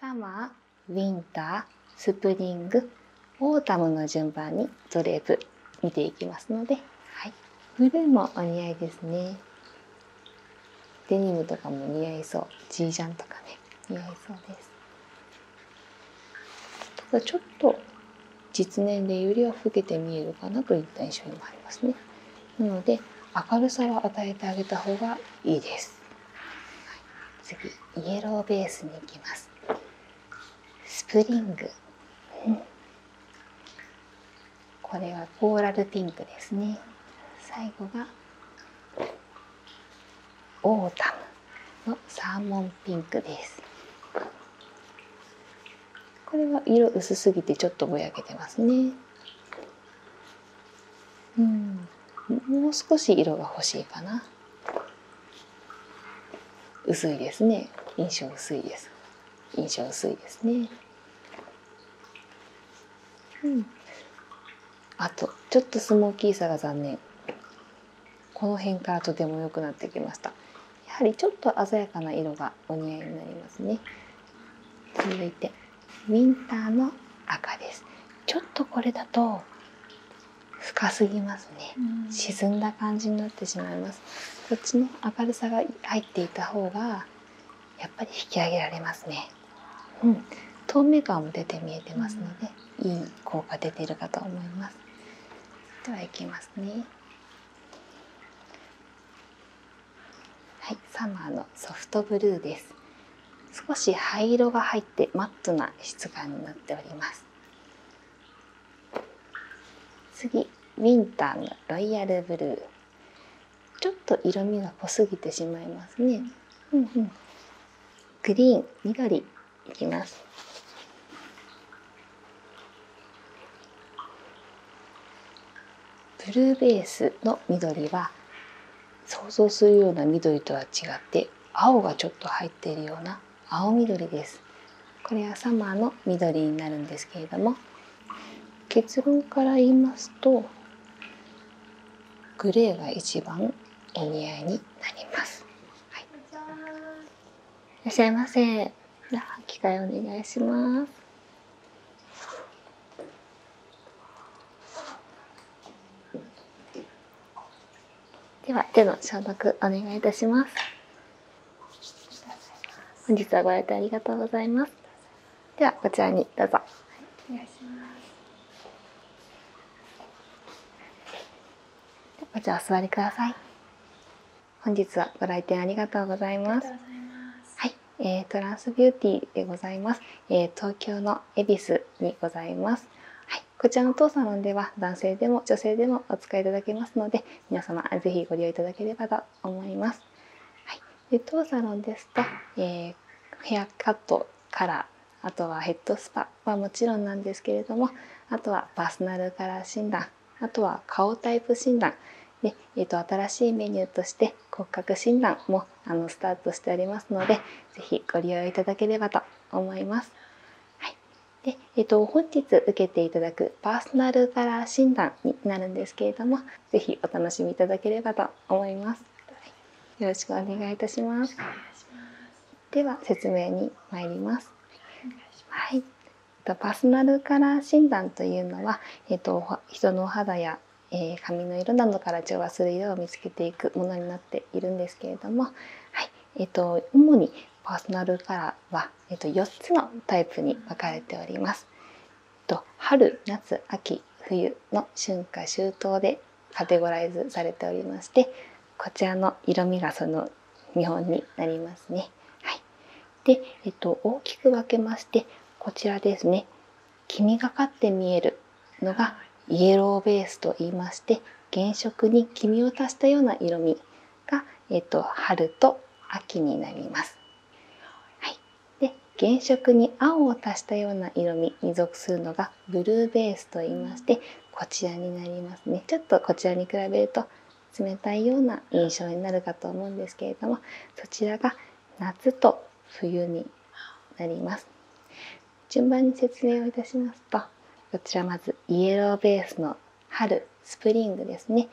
サマー、ウィンター、スプリング、オータムの順番にドレープ見ていきますので、はい、ブルーもお似合いですね。デニムとかも似合いそう。ジージャンとかね、似合いそうです。ただちょっと実年齢よりは老けて見えるかなといった印象にもありますね。なので、明るさは与えてあげた方がいいです。次イエローベースに行きますスプリング、これはコーラルピンクですね最後がオータムのサーモンピンクですこれは色薄すぎてちょっとぼやけてますねうんもう少し色が欲しいかな薄いですね印象薄いです印象薄いですねうんあとちょっとスモーキーさが残念この辺からとても良くなってきましたやはりちょっと鮮やかな色がお似合いになりますね続いてウィンターの赤ですちょっとこれだと深すぎますね、沈んだ感じになってしまいますこっちの明るさが入っていた方がやっぱり引き上げられますね、うん、透明感も出て見えてますので、いい効果出てるかと思いますではいきますねはい、サマーのソフトブルーです少し灰色が入ってマットな質感になっております次ウィンターのロイヤルブルーちょっと色味が濃すぎてしまいますね、グリーン緑いきますブルーベースの緑は想像するような緑とは違って青がちょっと入っているような青緑ですこれはサマーの緑になるんですけれども結論から言いますとグレーが一番お似合いになります、はい、いらっしゃいませじゃあ機械お願いしますでは手の消毒お願いいたします本日はご来店ありがとうございますではこちらにどうぞ、お願いしますこちらお座りください本日はご来店ありがとうございますはい、えー、トランスビューティーでございます、えー、東京の恵比寿にございます。はい、こちらの当サロンでは男性でも女性でもお使いいただけますので皆様是非ご利用いただければと思います。はい、で当サロンですと、えヘアカットカラーあとはヘッドスパはもちろんなんですけれどもあとはパーソナルカラー診断あとは顔タイプ診断で、えー、と新しいメニューとして骨格診断もあのスタートしておりますので是非ご利用いただければと思います。はい、でえっと、本日受けていただくパーソナルカラー診断になるんですけれども是非お楽しみいただければと思います。よろしくお願いいたします。では説明に参ります。はい、パーソナルカラー診断というのは、えっと、人のお肌やえ髪の色などから調和する色を見つけていくものになっているんですけれども、はいえーと、主にパーソナルカラーは、えーと、4つのタイプに分かれております。と春夏秋冬の春夏秋冬でカテゴライズされておりましてこちらの色味がその見本になりますね。はい、で、えっと、大きく分けましてこちらですね黄がかって見えるのがイエローベースと言いまして原色に黄みを足したような色味が、えー、と春と秋になります。はい、で原色に青を足したような色味に属するのがブルーベースと言いましてこちらになりますね。ちょっとこちらに比べると冷たいような印象になるかと思うんですけれどもそちらが夏と冬になります順番に説明をいたしますとこちらまずイエローベースの春スプリングですねこ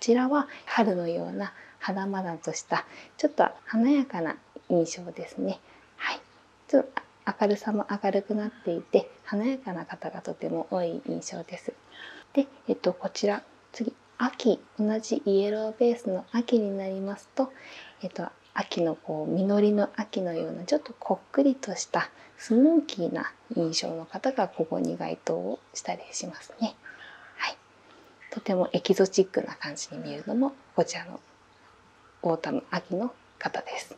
ちらは春のような花々としたちょっと華やかな印象ですねはいちょっと明るさも明るくなっていて華やかな方がとても多い印象ですで、えっと、こちら次秋同じイエローベースの秋になりますと、えっと、秋のこう実りの秋のようなちょっとこっくりとしたスモーキーな印象の方がここに該当をしたりしますね、はい、とてもエキゾチックな感じに見えるのもこちらの太田の秋の方です、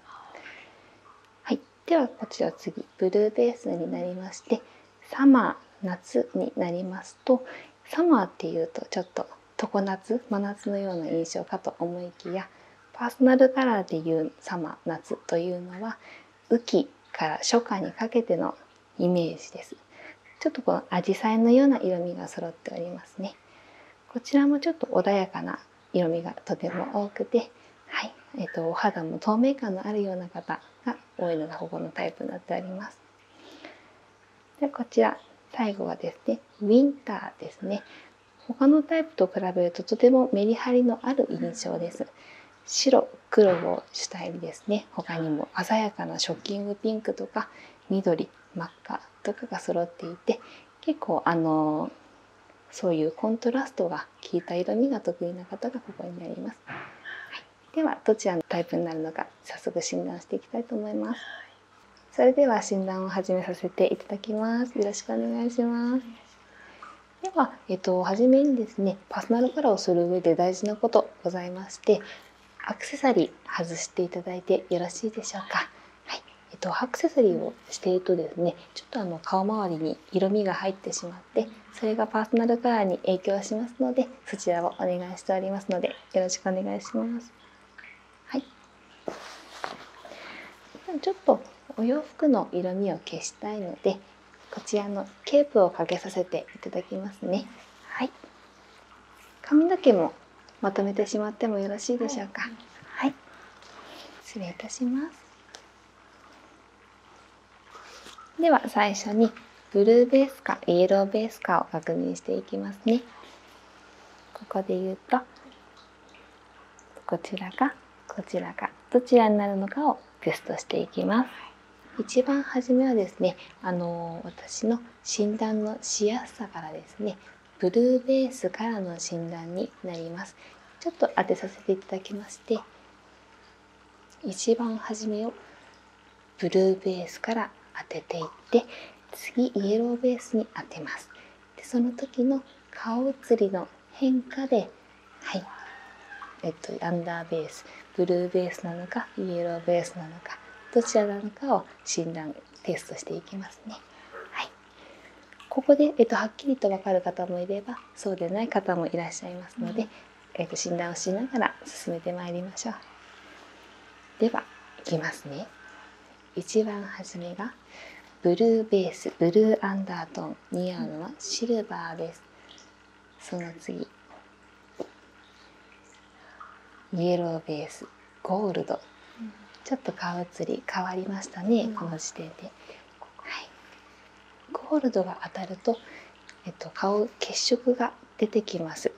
はい、ではこちら次ブルーベースになりましてサマー夏になりますとサマーっていうとちょっと常夏真夏のような印象かと思いきやパーソナルカラーでいう「サマ夏」というのは雨季から初夏にかけてのイメージですちょっとこの紫陽花のような色味が揃っておりますねこちらもちょっと穏やかな色味がとても多くてはいえっ、とお肌も透明感のあるような方が多いのがここのタイプになっておりますでこちら最後はですねウィンターですね他のタイプと比べるととてもメリハリのある印象です白黒を主体にですね他にも鮮やかなショッキングピンクとか緑真っ赤とかが揃っていて結構あのそういうコントラストが効いた色味が得意な方がここになります、はい、ではどちらのタイプになるのか早速診断していきたいと思いますそれでは診断を始めさせていただきます。よろしくお願いします。では、えっとはめにですね、パーソナルカラーをする上で大事なことございまして、アクセサリー外していただいてよろしいでしょうか。はい、えっとアクセサリーをしているとですね、ちょっとあの顔周りに色味が入ってしまって、それがパーソナルカラーに影響しますので、そちらをお願いしておりますので、よろしくお願いします。はいちょっとお洋服の色味を消したいのでこちらのケープをかけさせていただきますねはい髪の毛もまとめてしまってもよろしいでしょうかはい、失礼いたしますでは最初にブルーベースかイエローベースかを確認していきますねここで言うとこちらかこちらかどちらになるのかをテストしていきます。一番初めはですね、あの私の診断のしやすさからですねブルーベースからの診断になります。ちょっと当てさせていただきまして一番初めをブルーベースから当てていって次イエローベースに当てますでその時の顔写りの変化ではいえっとアンダーベースブルーベースなのかイエローベースなのかどちらなのかを診断テストしていきますね。はい、ここで、えっと、はっきりと分かる方もいればそうでない方もいらっしゃいますので、えっと、診断をしながら進めてまいりましょう。ではいきますね。一番初めがブルーベースブルーアンダートン似合うのはシルバーですその次イエローベースゴールド、ちょっと顔写り変わりましたね、この時点で、ゴールドが当たると、えっと、顔血色が出てきます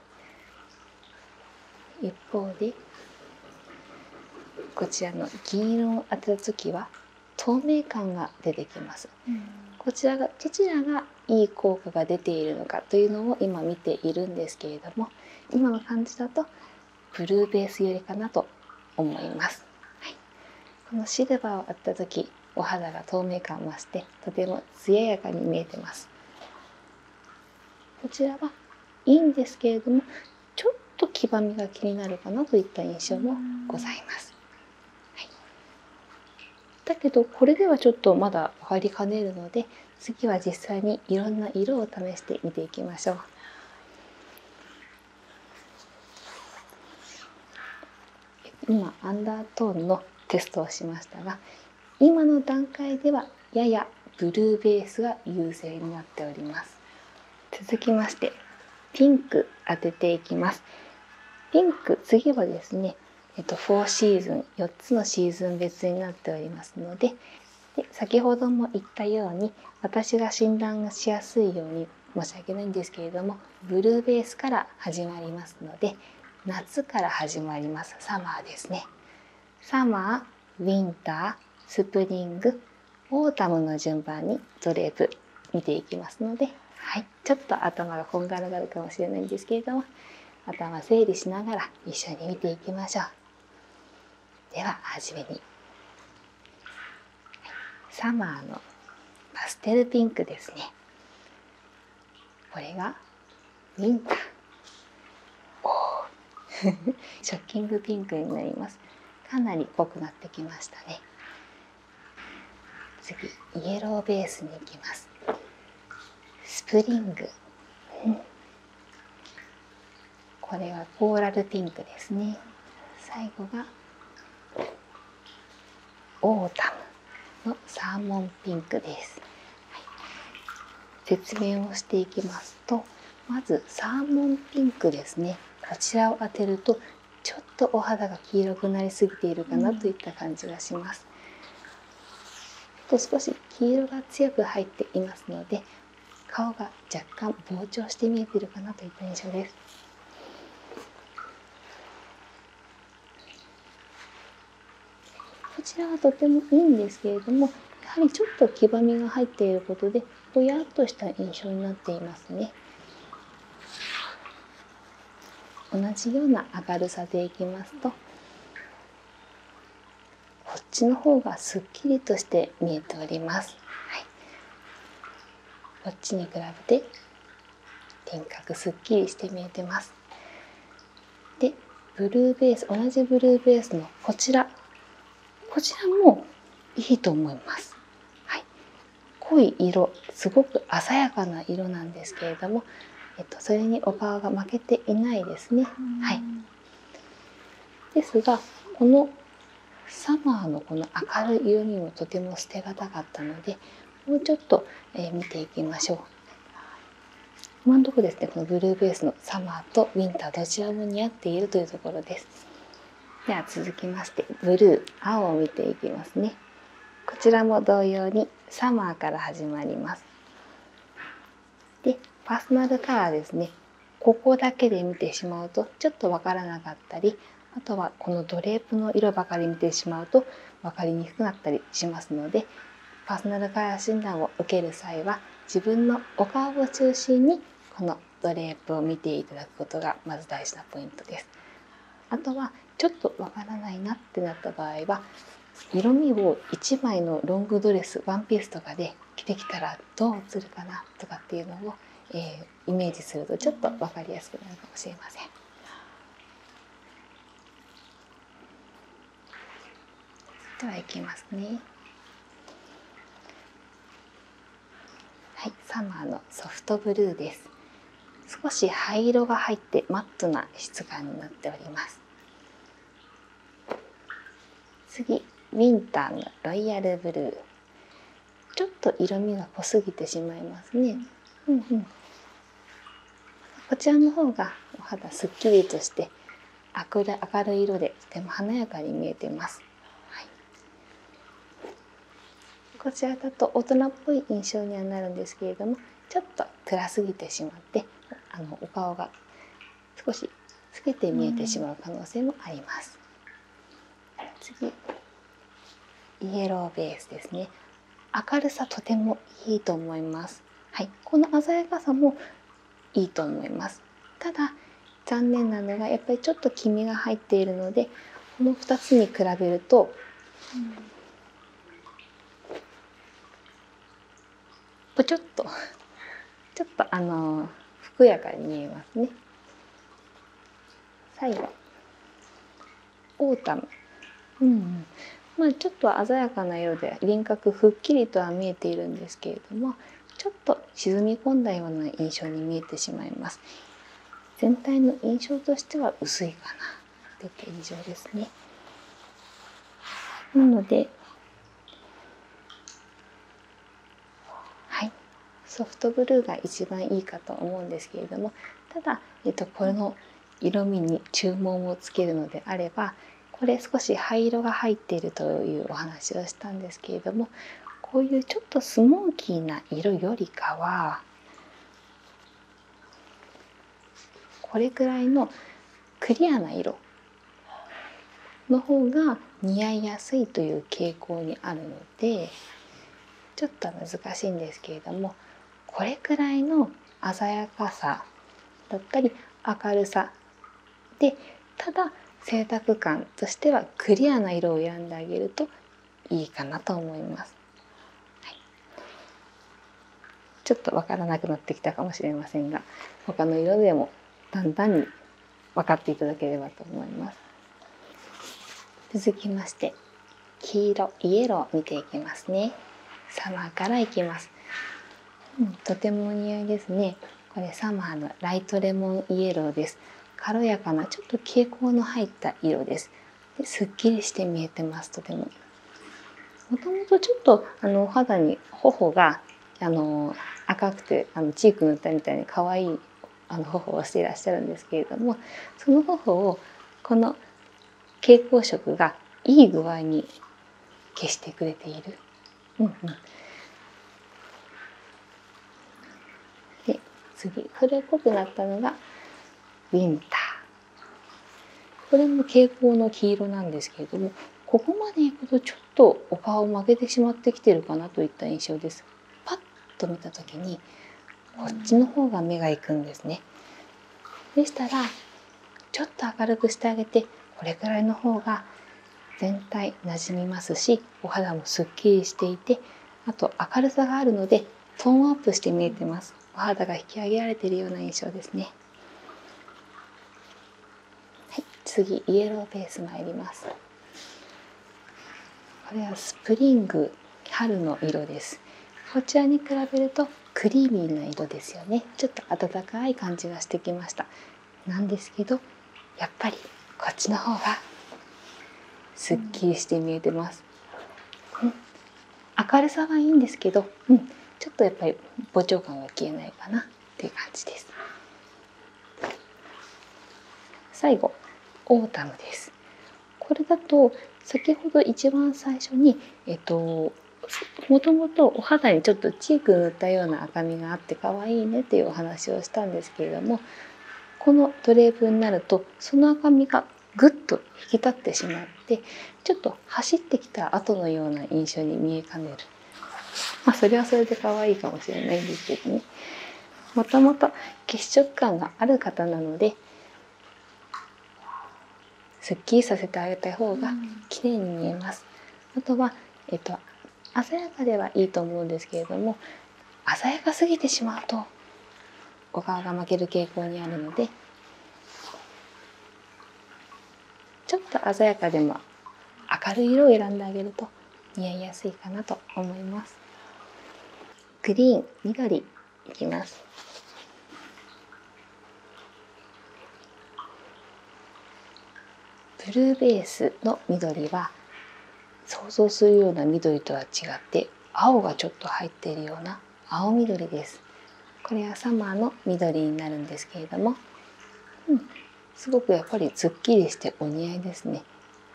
一方でこちらの銀色を当てた時は透明感が出てきます、こちらがどちらがいい効果が出ているのかというのを今見ているんですけれども今の感じだとブルーベース寄りかなと思います、はい、このシルバーをあった時お肌が透明感増してとても艶やかに見えてますこちらはいいんですけれどもちょっと黄ばみが気になるかなといった印象もございます。だけどこれではちょっとまだ分かりかねるので次は実際にいろんな色を試して見ていきましょう。今アンダートーンのテストをしましたが今の段階ではややブルーベースが優勢になっております続きましてピンク当てていきますピンク次はですねえっと4シーズン4つのシーズン別になっておりますのでで先ほども言ったように私が診断がしやすいように申し訳ないんですけれどもブルーベースから始まりますので夏から始まりますサマーですねサマー、ウィンター、スプリング、オータムの順番にドレープ見ていきますので、はい、ちょっと頭がこんがらがるかもしれないんですけれども頭整理しながら一緒に見ていきましょう。では初めにサマーのパステルピンクですね。これが忍者お ショッキングピンクになりますかなり濃くなってきましたね次イエローベースに行きますスプリング、これはコーラルピンクですね最後がオータムのサーモンピンクです説明をしていきますとまずサーモンピンクですねこちらを当てるとちょっとお肌が黄色くなりすぎているかなといった感じがします、うと少し黄色が強く入っていますので顔が若干膨張して見えているかなといった印象ですこちらはとてもいいんですけれどもやはりちょっと黄ばみが入っていることでぼやっとした印象になっていますね同じような明るさでいきますとこっちの方がすっきりとして見えております、はい、こっちに比べて輪郭すっきりして見えてますでブルーベース同じブルーベースのこちらこちらもいいと思います。濃い色すごく鮮やかな色なんですけれども、えっと、それにお顔が負けていないですね。はい、ですがこのサマーのこの明るい色にもとても捨てがたかったのでもうちょっと、え見ていきましょう。今のとこですねこのブルーベースのサマーとウィンターどちらも似合っているというところですでは続きましてブルー青を見ていきますねこちらも同様にサマーから始まりますでパーソナルカラーですねここだけで見てしまうとちょっとわからなかったりあとはこのドレープの色ばかり見てしまうと分かりにくくなったりしますのでパーソナルカラー診断を受ける際は自分のお顔を中心にこのドレープを見ていただくことがまず大事なポイントです。あとはちょっとわからないなってなった場合は色味を1枚のロングドレスワンピースとかで着てきたらどう映るかなとかっていうのを、えイメージするとちょっと分かりやすくなるかもしれません。ではいきますねはいサマーのソフトブルーです少し灰色が入ってマットな質感になっております次ウィンターのロイヤルブルーちょっと色味が濃すぎてしまいますね、こちらの方がお肌すっきりとして明る明るい色でとても華やかに見えてます、こちらだと大人っぽい印象にはなるんですけれどもちょっと暗すぎてしまってあのお顔が少し透けて見えてしまう可能性もあります。次イエローベースですね明るさとてもいいと思いますはい、この鮮やかさもいいと思いますただ残念なのがやっぱりちょっと黄身が入っているのでこの2つに比べると、ちょっとちょっとあのふくやかに見えますね。最後オーうん、まあ、ちょっと鮮やかな色で輪郭ふっきりとは見えているんですけれどもちょっと沈み込んだような印象に見えてしまいます全体の印象としては薄いかなといった印象ですねなのではいソフトブルーが一番いいかと思うんですけれどもただ、えっと、この色味に注文をつけるのであればこれ少し灰色が入っているというお話をしたんですけれどもこういうちょっとスモーキーな色よりかはこれくらいのクリアな色の方が似合いやすいという傾向にあるのでちょっと難しいんですけれどもこれくらいの鮮やかさだったり明るさでただ清濁感としてはクリアな色を選んであげるといいかなと思います、ちょっとわからなくなってきたかもしれませんが他の色でもだんだんに分かっていただければと思います続きまして黄色イエロー見ていきますねサマーからいきますとてもお似合いですねこれサマーのライトレモンイエローです軽やかなちょっと蛍光の入った色ですですっきりして見えてますとてももともとちょっとあのお肌に頬があの赤くてあのチーク塗ったみたいに可愛いあの頬をしていらっしゃるんですけれどもその頬をこの蛍光色がいい具合に消してくれているうんうんで次春っぽくなったのがウィンターこれも蛍光の黄色なんですけれどもここまでいくとちょっとお顔を曲げてしまってきてるかなといった印象ですパッと見た時にこっちの方が目がいくんですねでしたらちょっと明るくしてあげてこれくらいの方が全体なじみますしお肌もすっきりしていてあと明るさがあるのでトーンアップして見えてますお肌が引き上げられているような印象ですねはい次イエローベースまいりますこれはスプリング春の色ですこちらに比べるとクリーミーな色ですよねちょっと暖かい感じがしてきましたなんですけどやっぱりこっちの方は。すっきりして見えてます、明るさはいいんですけど、ちょっとやっぱり膨張感が消えないかなっていう感じです最後オータムですこれだと先ほど一番最初にえっともともとお肌にちょっとチーク塗ったような赤みがあって可愛いねっていうお話をしたんですけれどもこのドレープになるとその赤みがぐっと引き立ってしまってちょっと走ってきた後のような印象に見えかねる、まあ、それはそれで可愛いかもしれないんですけどねもともと血色感がある方なのですっきりさせてあげた方が綺麗に見えます。あとは、えっと、鮮やかではいいと思うんですけれども鮮やかすぎてしまうとお顔が負ける傾向にあるのでちょっと鮮やかでも明るい色を選んであげると似合いやすいかなと思います。グリーン、緑いきます。ブルーベースの緑は想像するような緑とは違って青がちょっと入っているような青緑です。これはサマーの緑になるんですけれども、うん、すごくやっぱりズッキリしてお似合いですね。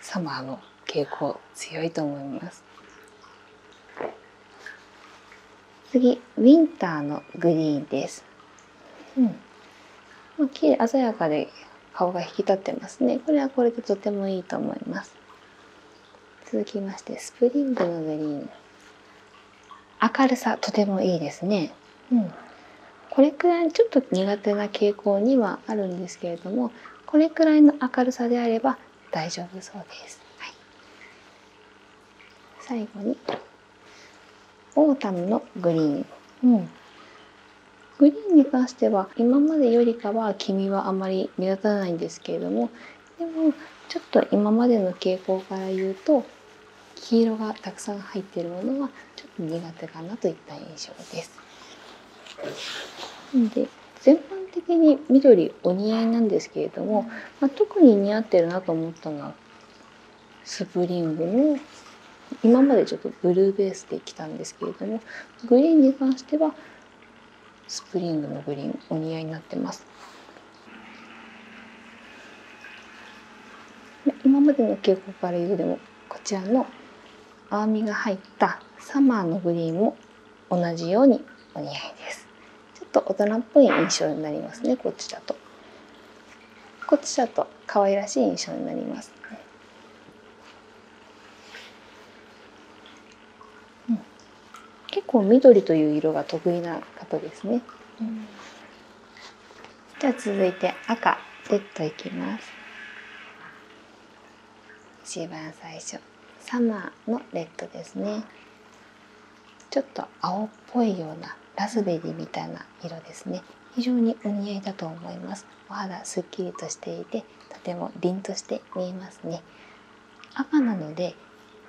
サマーの傾向強いと思います。次ウィンターのグリーンです。うん、鮮やかで顔が引き立ってますね。これはこれでとてもいいと思います。続きましてスプリングのグリーン。明るさとてもいいですね。うん、これくらいちょっと苦手な傾向にはあるんですけれども、これくらいの明るさであれば大丈夫そうです。はい、最後に。オータムのグリーン、グリーンに関しては今までよりかは黄身はあまり目立たないんですけれどもでもちょっと今までの傾向から言うと黄色がたくさん入ってるものはちょっと苦手かなといった印象です。で全般的に緑お似合いなんですけれども、ま特に似合ってるなと思ったのはスプリングの今までちょっとブルーベースで来たんですけれどもグリーンに関してはスプリングのグリーンお似合いになってます。今までの傾向から言うでもこちらのアーミが入ったサマーのグリーンも同じようにお似合いです。ちょっと大人っぽい印象になりますねこっちだと。こっちちょっと可愛らしい印象になります結構緑という色が得意な方ですね。じゃあ続いて赤レッドいきます。一番最初サマーのレッドですね。ちょっと青っぽいようなラズベリーみたいな色ですね非常にお似合いだと思いますお肌すっきりとしていてとても凛として見えますね赤なので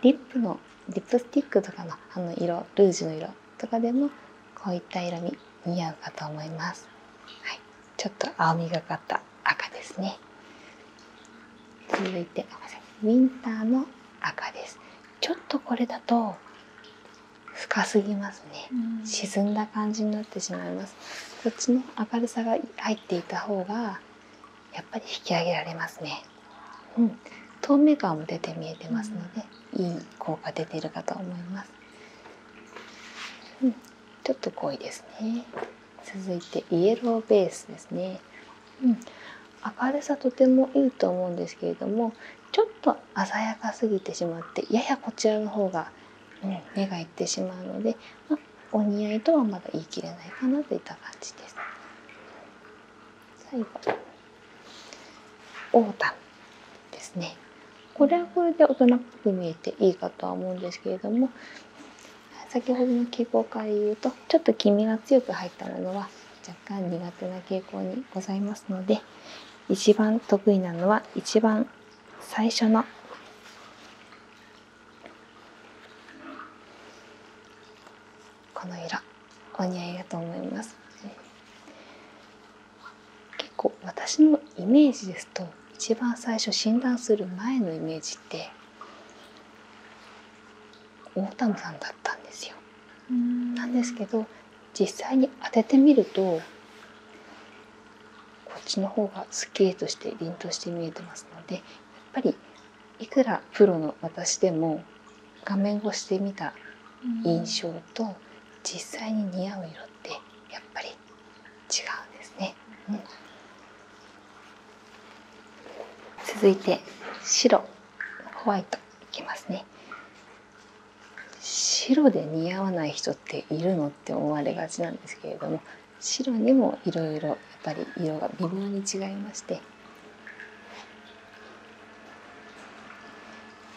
リップのリップスティックとかのあの色ルージュの色とかでもこういった色味似合うかと思いますはい、ちょっと青みがかった赤ですね続いてウィンターの赤ですちょっとこれだと深すぎますね、沈んだ感じになってしまいますこっちの明るさが入っていた方がやっぱり引き上げられますね、うん、透明感も出て見えてますので、いい効果出てるかと思います、うん、ちょっと濃いですね続いてイエローベースですねうん、明るさとてもいいと思うんですけれどもちょっと鮮やかすぎてしまってややこちらの方が、う目がいってしまうので、まお似合いとはまだ言い切れないかなといった感じです。最後オータですねこれはこれで大人っぽく見えていいかとは思うんですけれども先ほどの傾向から言うとちょっと黄身が強く入ったものは若干苦手な傾向にございますので一番得意なのは一番最初のこの色お似合いだと思います結構私のイメージですと一番最初診断する前のイメージってオーさんだったんですよ。なんですけど実際に当ててみるとこっちの方がすっきりとして凛として見えてますのでやっぱりいくらプロの私でも画面越してみた印象と実際に似合う色ってやっぱり違うんですね。続いて白。ホワイトいきますね白で似合わない人っているのって思われがちなんですけれども白にもいろいろやっぱり色が微妙に違いまして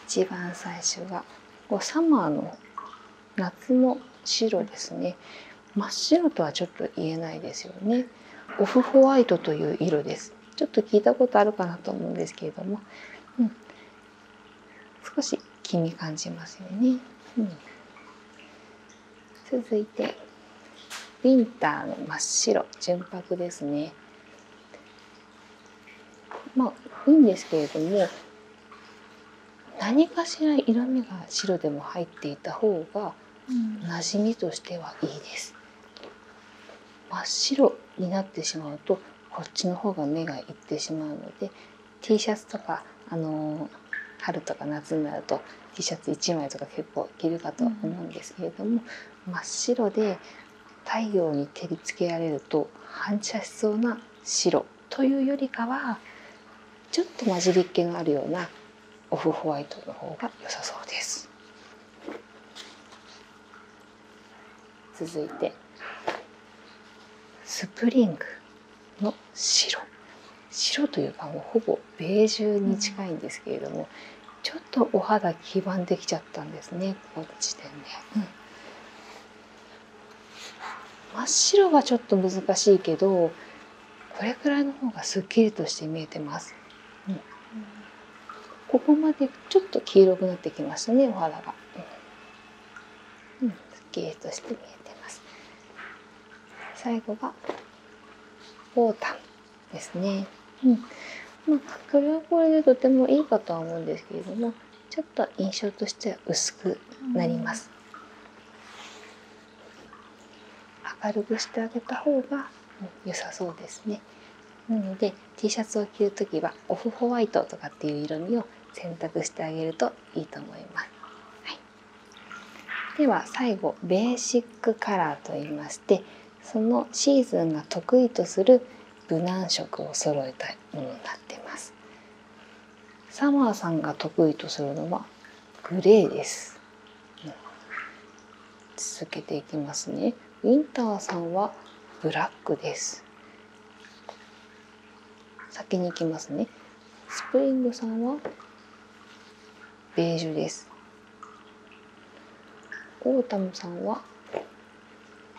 一番最初がこうサマーの夏の白ですね真っ白とはちょっと言えないですよねオフホワイトという色ですちょっと聞いたことあるかなと思うんですけれども、少し気に感じますよね。うん、続いてウィンターの真っ白純白ですね。まあいいんですけれども何かしら色味が白でも入っていた方が馴染みとしてはいいです。真っ白になってしまうとこっちの方が目がいってしまうので T シャツとか、あの春とか夏になると T シャツ1枚とか結構いけるかと思うんですけれども、真っ白で太陽に照りつけられると反射しそうな白というよりかはちょっと混じりっ気のあるようなオフホワイトの方が良さそうです。続いてスプリングの白白というかもうほぼベージュに近いんですけれども、ちょっとお肌黄ばんできちゃったんですねこの時点で、真っ白はちょっと難しいけどこれくらいの方がすっきりとして見えてます。ここまでちょっと黄色くなってきましたねお肌が、うん、すっきりとして見えてます最後がボーですね、うんまあ、これはこれでとてもいいかとは思うんですけれどもちょっと印象としては薄くなります、明るくしてあげた方が良さそうですねなので T シャツを着るときはオフホワイトとかっていう色味を選択してあげるといいと思います。はい、では最後ベーシックカラーといいましてそのシーズンが得意とする無難色を揃えたものになっています。サマーさんが得意とするのはグレーです。続けていきますねウィンターさんはブラックです先に行きますねスプリングさんはベージュですオータムさんは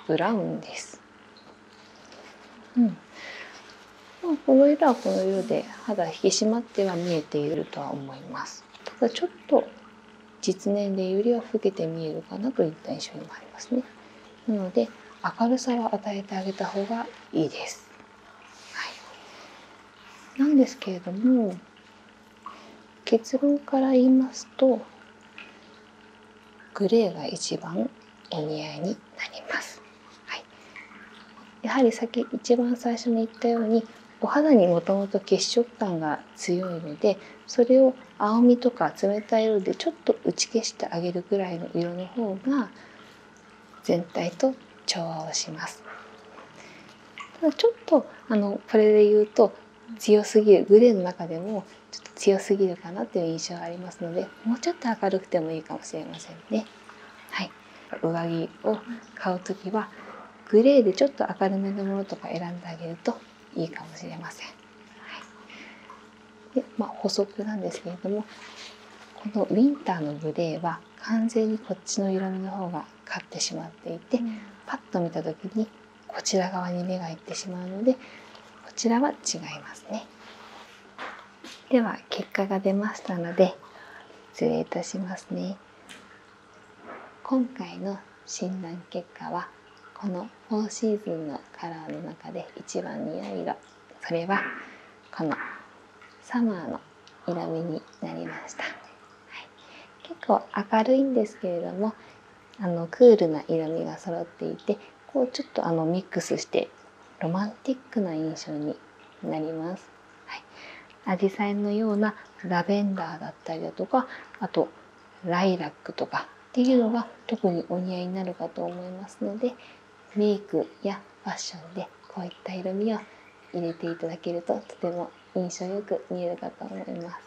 ブラウンです、うんまこの色はこの色で肌引き締まっては見えているとは思いますただちょっと実年齢よりは老けて見えるかなといった印象にもありますね。なので明るさは与えてあげた方がいいです。なんですけれども結論から言いますとグレーが一番お似合いになります。はい、やはりさっき一番最初に言ったようにお肌にもともと血色感が強いのでそれを青みとか冷たい色でちょっと打ち消してあげるぐらいの色の方が全体と調和をします。ただちょっとあのこれで言うと強すぎるグレーの中でもちょっと強すぎるかなっていう印象がありますのでもうちょっと明るくてもいいかもしれませんね。はい、上着を買う時はグレーでちょっと明るめのものとか選んであげるといいかもしれません。はい、でまあ、補足なんですけれどもこのウィンターのグレーは完全にこっちの色味の方が勝ってしまっていて、パッと見た時にこちら側に目がいってしまうのでこちらは違いますね。では結果が出ましたので失礼いたしますね。今回の診断結果はこの4シーズンのカラーの中で一番似合う色それはこのサマーの色味になりました、結構明るいんですけれどもあのクールな色味が揃っていてこうちょっとあのミックスしてロマンティックな印象になります。はい、紫陽花のようなラベンダーだったりだとかあとライラックとかっていうのが特にお似合いになるかと思いますのでメイクやファッションでこういった色味を入れていただけるととても印象よく見えるかと思います。は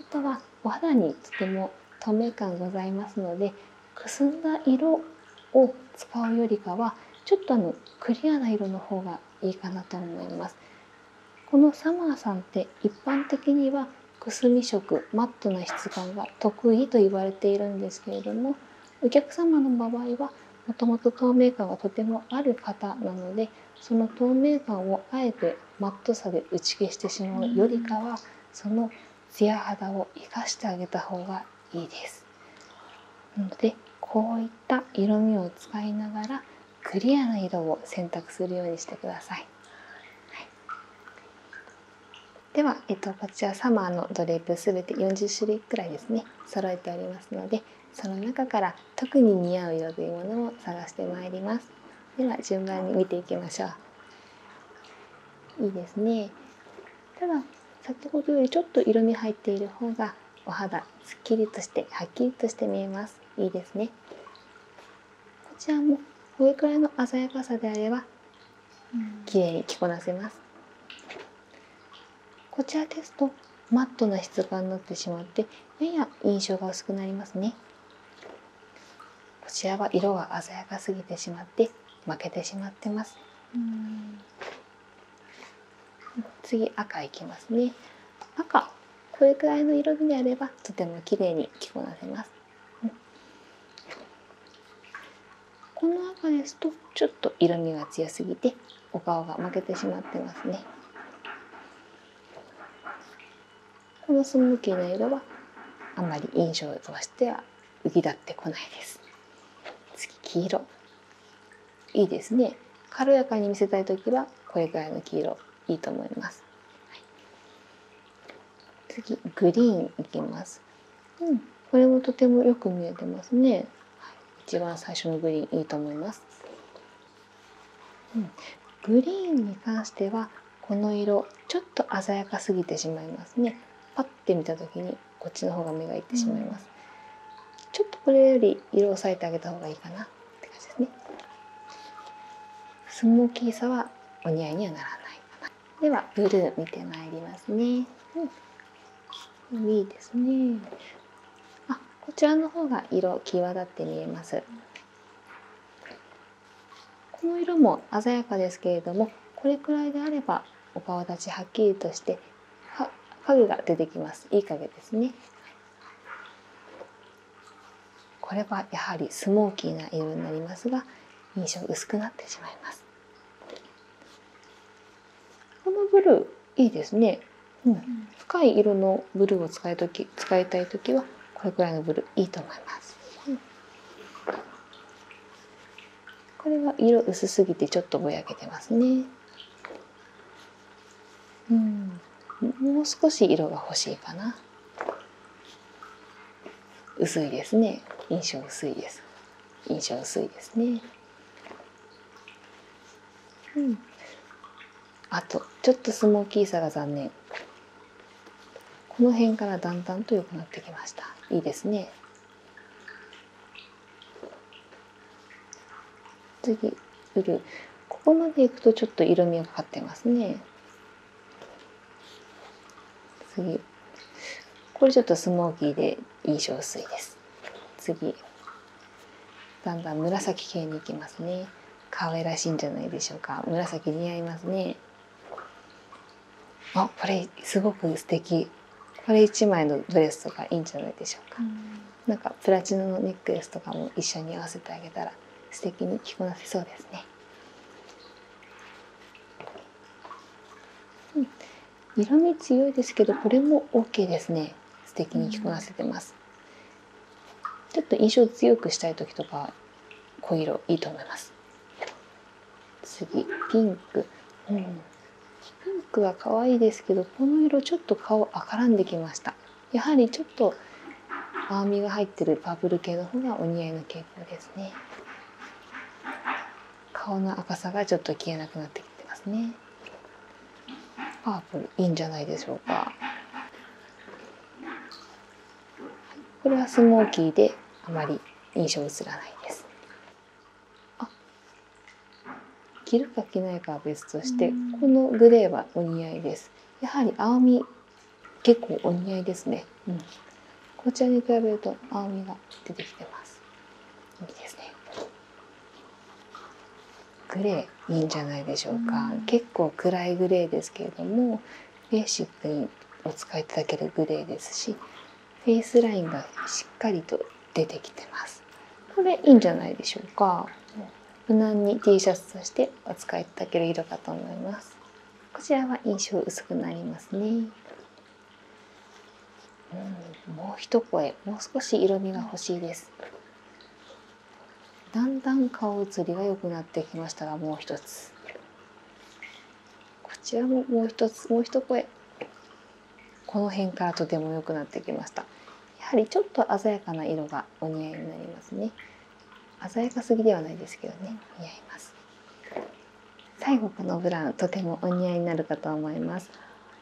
あとはお肌にとても透明感ございますのでくすんだ色を使うよりかはちょっとあのクリアな色の方がいいかなと思います。このサマーさんって一般的にはくすみ色マットな質感が得意と言われているんですけれどもお客様の場合はもともと透明感がとてもある方なのでその透明感をあえてマットさで打ち消してしまうよりかはそのツヤ肌を生かしてあげた方がいいです。のでこういった色味を使いながらクリアな色を選択するようにしてください。では、えっと、こちらサマーのドレープすて40種類くらいですね揃えておりますのでその中から特に似合う色というものを探してまいりますでは順番に見ていきましょういいですねただ先ほどよりちょっと色味入っている方がお肌すっきりとしてはっきりとして見えますいいですねこちらもこれくらいの鮮やかさであれば綺麗に着こなせますこちらですとマットな質感になってしまってやや印象が薄くなりますねこちらは色が鮮やかすぎてしまって負けてしまってます次赤いきますね赤これくらいの色味であればとても綺麗に着こなせます、この赤ですとちょっと色味が強すぎてお顔が負けてしまってますねこのスムーキーな色はあんまり印象としては浮き立ってこないです次黄色いいですね軽やかに見せたい時はこれくらいの黄色いいと思います、次グリーンいきます、うん、これもとてもよく見えてますね、一番最初のグリーンいいと思います、うん、グリーンに関してはこの色ちょっと鮮やかすぎてしまいますねパッて見た時にこっちの方が目がいってしまいます、ちょっとこれより色を抑えてあげた方がいいかなって感じですねスモーキさはお似合いにはならないかなでは見てまいりますね、うん、いいですねあこちらの方が色際立って見えますこの色も鮮やかですけれどもこれくらいであればお顔立ちはっきりとして影が出てきますいい影ですねこれはやはりスモーキーな色になりますが印象薄くなってしまいますこのブルーいいですね、うん、深い色のブルーを使いと使いたい時はこれぐらいのブルーいいと思います、これは色薄すぎてちょっとぼやけてますねうんもう少し色が欲しいかな薄いですね印象薄いです印象薄いですねうんあとちょっとスモーキーさが残念この辺からだんだんと良くなってきましたいいですね次うここまでいくとちょっと色味がかかってますね次これちょっとスモーキーでいい憔水です次だんだん紫系に行きますね可愛らしいんじゃないでしょうか紫似合いますねあこれすごく素敵これ1枚のドレスとかいいんじゃないでしょうか、なんかプラチナのネックレスとかも一緒に合わせてあげたら素敵に着こなせそうですね。色味強いですけどこれも OK ですね素敵に着こなせてます。ちょっと印象強くしたい時とか濃い色いいと思います。次ピンク、うん、ピンクは可愛いですけどこの色ちょっと顔赤らんできました。やはりちょっと青みが入ってるパープル系の方がお似合いの傾向ですね顔の赤さがちょっと消えなくなってきてますねパープルいいんじゃないでしょうかこれはスモーキーであまり印象映らないです着るか着ないかは別としてこのグレーはお似合いですやはり青み結構お似合いですね、うん、こちに比べると青みが出てきてますいいですねグレーいいんじゃないでしょうか、結構暗いグレーですけれどもベーシックにお使いいけるグレーですしフェイスラインがしっかりと出てきてますこれいいんじゃないでしょうか、う無難に T シャツとしてお使いいただける色かと思いますこちらは印象薄くなりますね、ん、もう一声もう少し色味が欲しいですだんだん顔写りが良くなってきましたがもう一つこちらももう一つもう一声この辺からとても良くなってきましたやはりちょっと鮮やかな色がお似合いになりますね鮮やかすぎではないですけどね似合います最後このブラウンとてもお似合いになるかと思います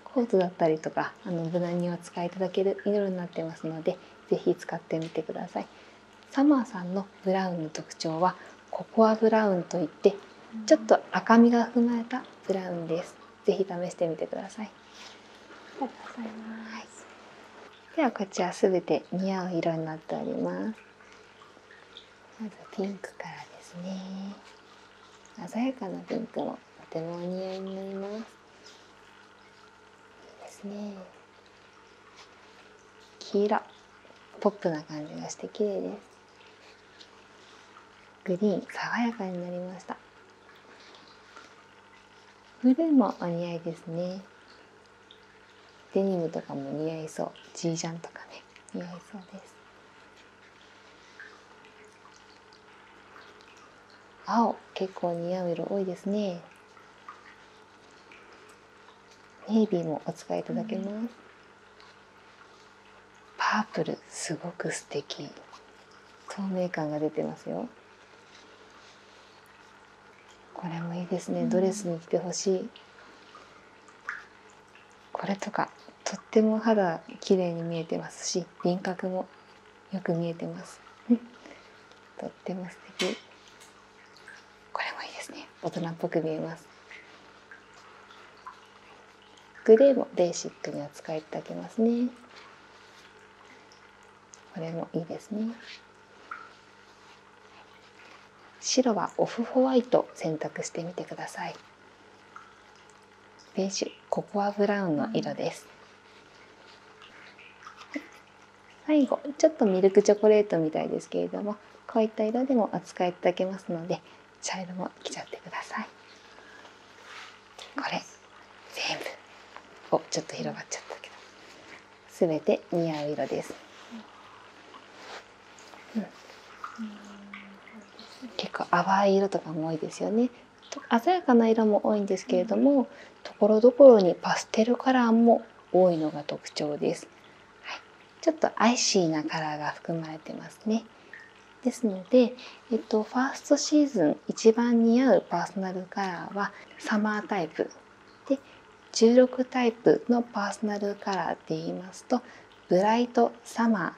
コートだったりとかあの無難にお使いいただける色になってますので是非使ってみてくださいサマーさんのブラウンの特徴はココアブラウンといってちょっと赤みが踏まえたブラウンです是非試してみてくださいありがとうございます。ではこちらすて似合う色になっております。まずピンクからですね。鮮やかなピンクもとてもお似合いになります。いいですね。黄色、ポップな感じがして綺麗です。グリーン、爽やかになりました。ブルーもお似合いですねデニムとかも似合いそうジージャンとかね似合いそうです青結構似合う色多いですねネイビーもお使いいただけます、パープルすごく素敵透明感が出てますよこれもいいですね、ドレスに着てほしいこれとかとっても肌綺麗に見えてますし輪郭もよく見えてますとっても素敵これもいいですね大人っぽく見えますグレーもベーシックに扱いいただけますねこれもいいですね白はオフホワイト選択してみてくださいベージュココアブラウンの色です最後ちょっとミルクチョコレートみたいですけれどもこういった色でも扱いいたけますので茶色も着ちゃってくださいこれ全部おちょっと広がっちゃったけど全て似合う色です、結構淡い色とかも多いですよね鮮やかな色も多いんですけれどもところどころにパステルカラーも多いのが特徴です、ちょっとアイシーなカラーが含まれてますねですのでえっと、ファーストシーズン一番似合うパーソナルカラーはサマータイプで16タイプのパーソナルカラーって言いますとブライトサマー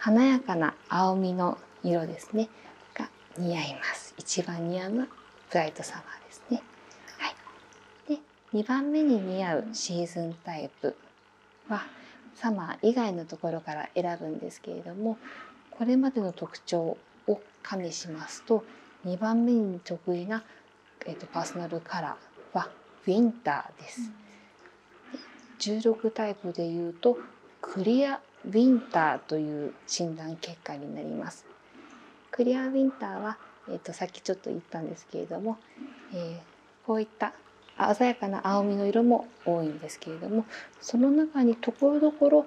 華やかな青みの色ですねが似合います一番似合うブライトサマーですね、はい、で2番目に似合うシーズンタイプはサマー以外のところから選ぶんですけれどもこれまでの特徴を加味しますと2番目に得意な、えーと、パーソナルカラーはウィンターです。16タイプでいうとクリアウィンターという診断結果になります。クリアウィンターは、えーと、さっきちょっと言ったんですけれども、えこういった鮮やかな青みの色も多いんですけれどもその中にところどころ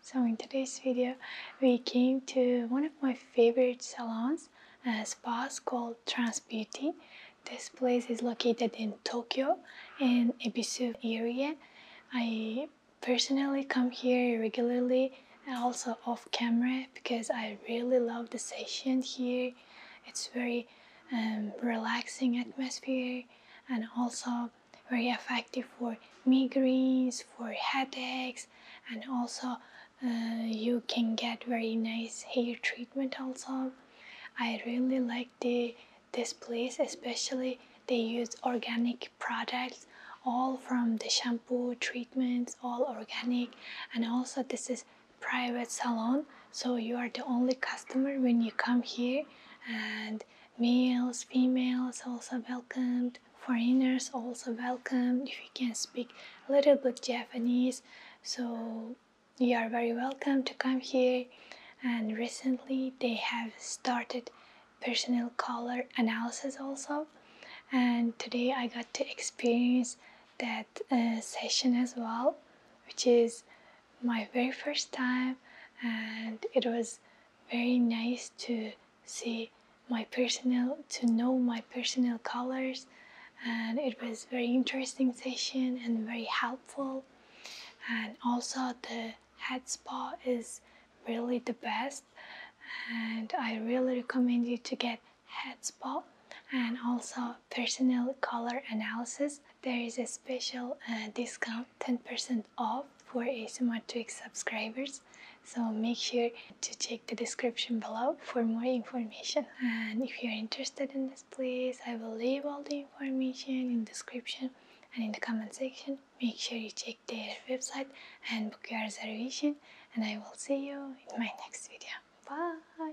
So in today's video, we came to one of my favorite salons and spas called Trans Beauty. This place is located in Tokyo in Ebisu area. I personally come here regularly and also off camera because I really love the session here. It's very um, relaxing atmosphere and also very effective for migraines, for headaches, and also uh, you can get very nice hair treatment also. I really like the this place, especially they use organic products all from the shampoo treatments all organic and also this is private salon so you are the only customer when you come here and males females also welcome Foreigners also welcome If you can speak a little bit Japanese, so you are very welcome to come here. And recently they have started personal color analysis also. And today I got to experience that uh, session as well, which is my very first time, and it was very nice to see my personal to know my personal colors and it was very interesting session and very helpful and also the head spa is really the best and I really recommend you to get head spa and also personal color analysis there is a special uh, discount 10% percent off for asymmetric subscribers so make sure to check the description below for more information and if you're interested in this place, i will leave all the information in description and in the comment section make sure you check their website and book your reservation and i will see you in my next video bye